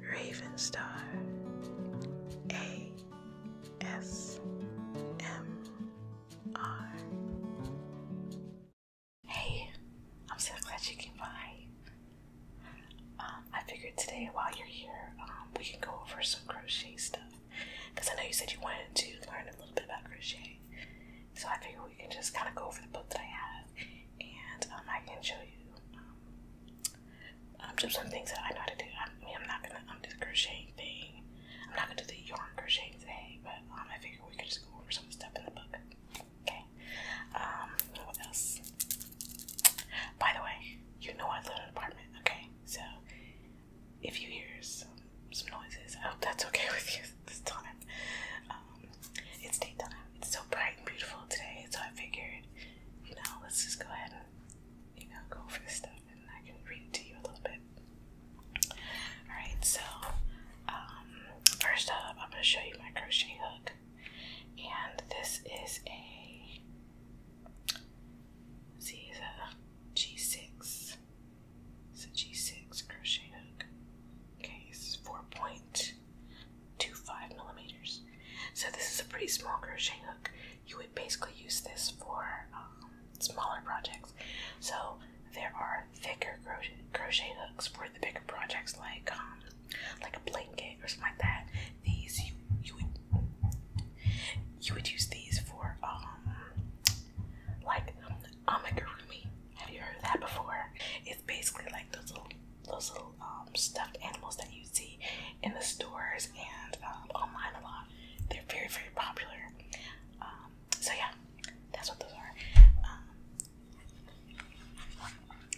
Ravenstar A S M R. Hey, I'm so glad you came by. Um, I figured today while you're here, um, we can go over some crochet stuff because I know you said you wanted to learn a little bit about crochet. So I figured we can just kind of go over the book that I have and um, I can show you um, um, just some things that I know how to do. I am not gonna um, do the crocheting thing. I'm not gonna do the yarn crochet today, but I figure we could just go over some stuff in the book. Okay. what else? By the way, you know I live in an apartment. Okay, so if you hear some noises, I hope that's okay with you this time. Um, it's daytime. It's so bright and beautiful today, so I figured, you know, let's just go ahead and, you know, go for this stuff and I can read it to you a little bit. Alright, so, um, first up, I'm going to show you my crochet hook. And this is a, let see, it's a G6. It's a G6 crochet hook. Okay, it's point. 0.25 millimeters. So this is a pretty small crochet hook. You would basically use this for um, smaller projects. So there are thicker crochet, hooks for the bigger projects, like um, like a blanket or something like that. These you you would you would use these for um like um, amigurumi have you heard that before? It's basically like those little those little um, stuffed animals that you see in the stores and um, online a lot. They're very very popular. Um, so yeah, that's what those are. Um,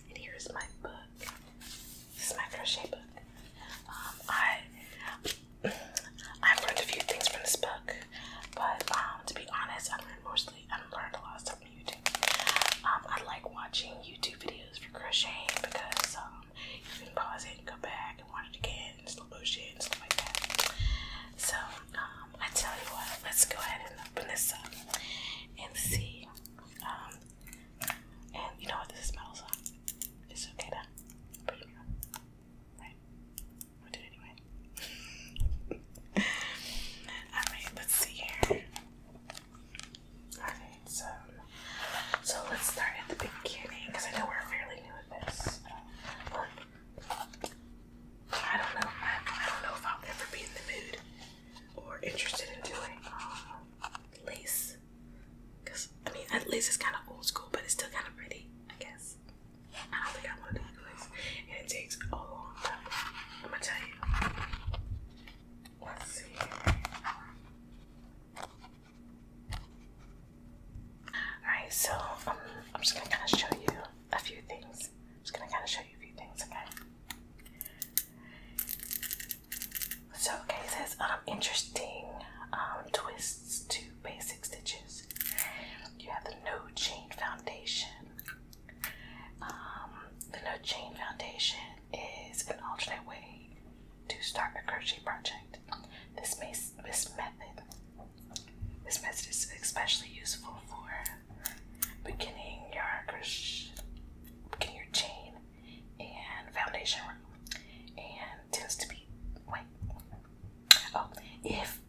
and here's my book. This is my crochet book. I I've learned a few things from this book, but um, to be honest, I've learned mostly I've learned a lot um, I like watching YouTube videos for crocheting because um, you can pause it and go back and watch it again and slow motion and stuff like that. So um, I tell you what, let's go ahead and open this up and see. and you know what this smells like? It's okay to put it anyway. Alright, let's see here. Alright, so so let's start at the beginning because I know we're fairly new at this. Uh, look, I don't know. I, don't know if I'll ever be in the mood or interested in doing uh, lace. Cause I mean, lace is kind of old school, but it's still kind of pretty, I guess. I don't think I want to do this. And it takes a long time. I'm going to tell you. Let's see. Alright, so um, I'm just going to kind of show you a few things. I'm just going to kind of show you a few things, okay? So, okay, it says um, interesting um, twists to basic stitches. You have the no chain foundation, um, the No Chain Foundation is an alternate way to start a crochet project. This, this method this method is especially useful for beginning your crochet, beginning your chain and foundation and tends to be wait. Oh, if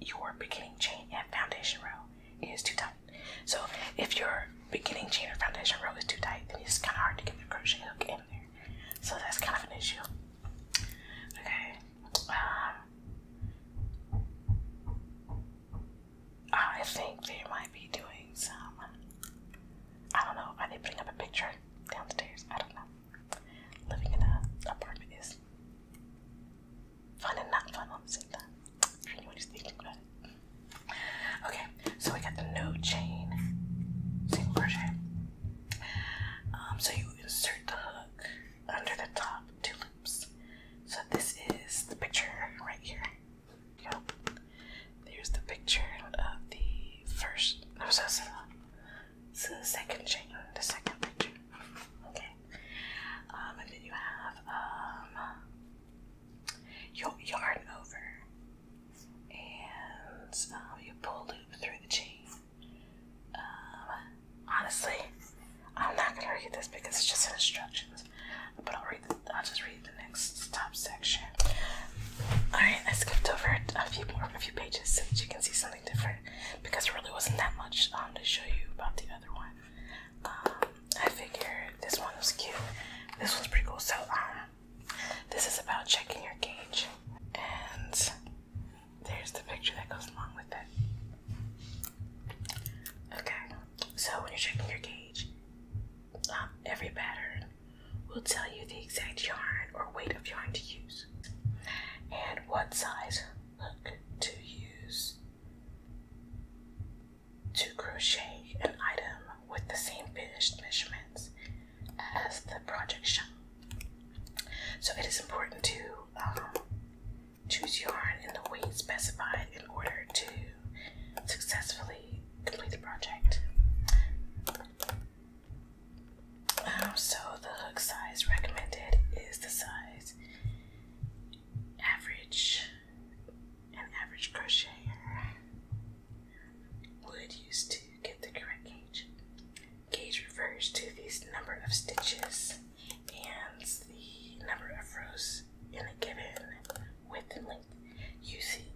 your beginning chain and foundation row is too tight. So if your beginning chain or foundation row is too tight, then it's kind of hard to get the crochet hook in there. So that's kind of an issue. Okay. Uh, I think they might be doing some. I don't know. Are they putting up a picture downstairs? I don't know. Living in an apartment is Fun and not fun Okay, so we got the no chain single crochet. Um, so you insert the hook under the top two loops. So this is the picture right here. Yep. There's the picture of the first. No, so it's the, the second chain, the second picture. Okay. Um, and then you have um, your yarn over, and um, you pull loop through the chain. honestly, I'm not gonna read this because it's just instructions. But I'll read. The, I'll just read the next top section. All right, I skipped over a few more, a few pages so that you can see something different because there really wasn't that much um, to show you about the other one. Um, I figured this one was cute. This one's pretty cool. So, um, this is about checking your gauge, and there's the picture that goes along with it. Okay, so when you're checking your gauge, um, every pattern will tell you the exact yarn or weight of yarn to use and what size look to use to crochet an item with the same finished measurements as the project shown. So it is important to um, choose yarn in the weight specified in order to successfully complete the project. Um, so the hook size recommended is the size average. An average crocheter would use to get the correct gauge. Gauge refers to the number of stitches and the number of rows in a given width and length.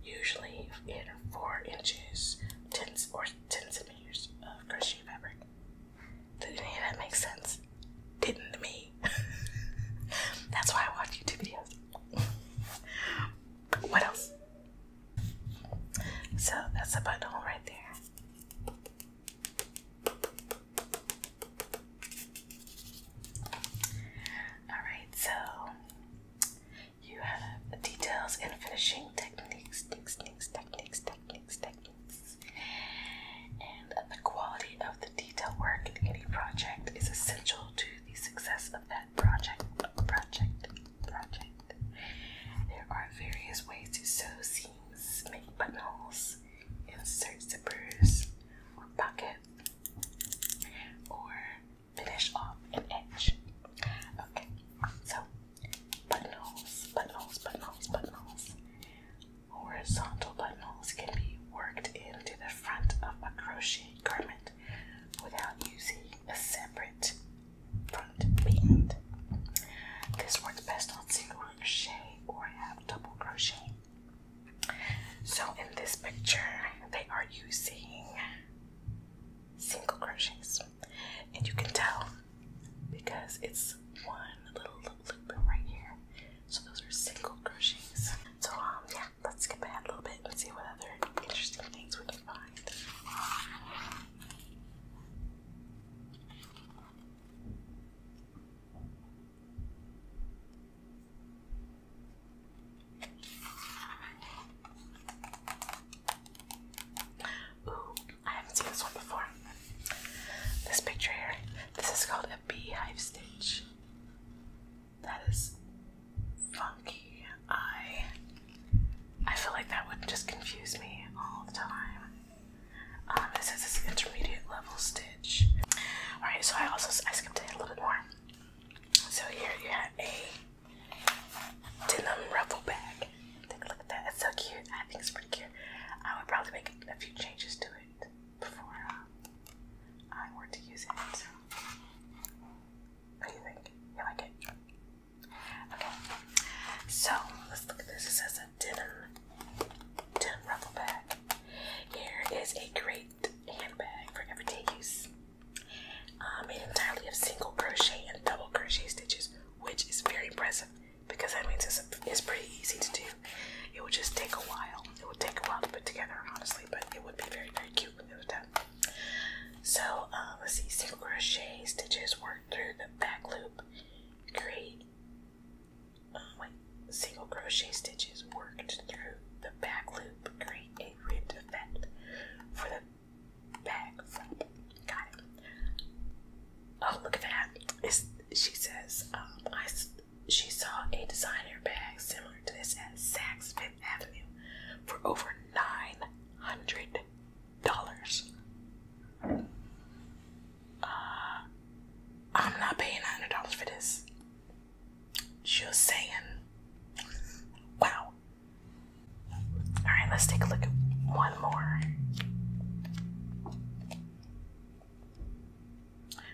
Usually in four inches, tens or tens of meters of crochet fabric. Did any of that make sense? Didn't to me. That's why I watch YouTube videos. what else? So that's a buttonhole right there. Alright, so you have details and finishing techniques, techniques, techniques, techniques, techniques, and the quality of the detail work in any project is essential to the success of that project. Project. Project. There are various ways to sew seams, make buttonholes, insert zippers, or pockets, or finish off an edge. Okay, so Buttonholes, buttonholes, buttonholes, buttonholes. Horizontal buttonholes can be worked into the front of a crochet garment without using a separate front pigment. This works best on single crochet or half double crochet. So in this picture, they are using single crochets and you can tell because it's one little loop right here. So those are single crochets. So um yeah, let's skip ahead a little bit Let's see what other interesting things we can find. Ooh, I haven't seen this one before. This picture here. This is called a beehive stitch. That is funky. I I feel like that would just confuse me all the time. Um, this is this intermediate level stitch. Alright, so I also I skipped ahead a little bit more. So here you have a denim ruffle bag. look at that. It's so cute. I think it's pretty cute. I would probably make a few changes to it before uh, I were to use it. What do you think? You like it? Okay. So let's look at this. It says a denim, denim ruffle bag. Here is a great handbag for everyday use. Um, made entirely of single crochet and double crochet stitches which is very impressive because that means it's, it's pretty easy to do. It would just take a while. It would take a while to put together, honestly, but it would be very, very cute when it was done. So, uh, let's see, single crochet stitches worked through the back loop, create, um, wait, single crochet stitches worked through the back loop, create a ribbed effect for the bag Got it. Oh, look at that. she says, um, I, she saw a designer bag similar to this at Saks Fifth Avenue for over $900. Uh, I'm not paying $900 for this. Just saying. Wow. All right, let's take a look at one more.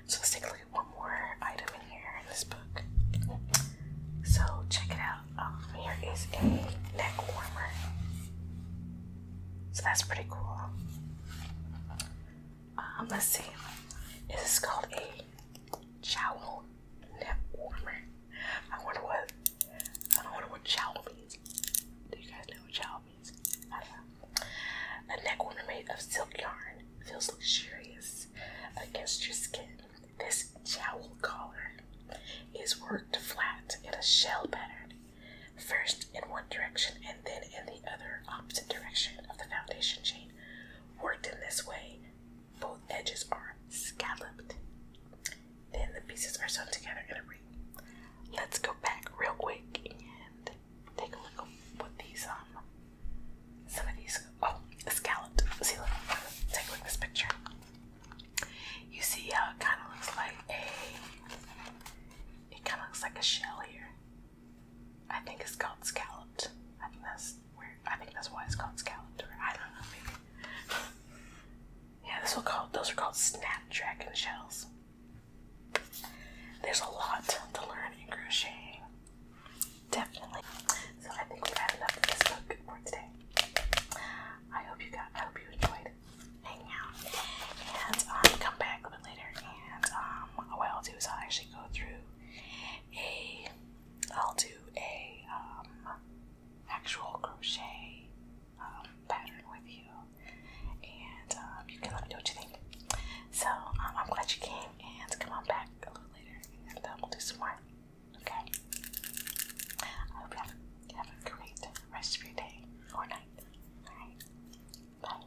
So let's take a look at one more item in here in this book. So check it out. Um, here is a neck warmer. So that's pretty cool. Um, let's see. This is called a jowl Lap warmer. I wonder what I don't wonder what chow means. Do you guys know what chow means? A neck warmer made of silk yarn feels luxurious against your skin. This jowl collar is worked flat in a shell pattern, first in one direction and then in the other opposite direction of the foundation chain. Worked in this way, both edges are scalloped. Then the pieces are sewn together in a ring. Let's go back real quick and take a look at um, some of these oh scalloped. See look take a look at this picture. You see how it kinda looks like a it kinda looks like a shell here. I think it's called scalloped. I think I think that's why it's called Scalenter. I don't know, Yeah, this will called those are called snapdragon shells. There's a lot to learn in crocheting. Definitely. So I think we've had enough of this book for today. I hope you got I hope you enjoyed hanging out. And um, come back a bit later and um what I'll do is i actually go through a I'll do a um actual crochet um, pattern with you, and um, you can let me know what you think. So um, I'm glad you came, and come on back a little later, and then uh, we'll do some more. Okay. I hope you have, a great rest of your day or night. All right. Bye.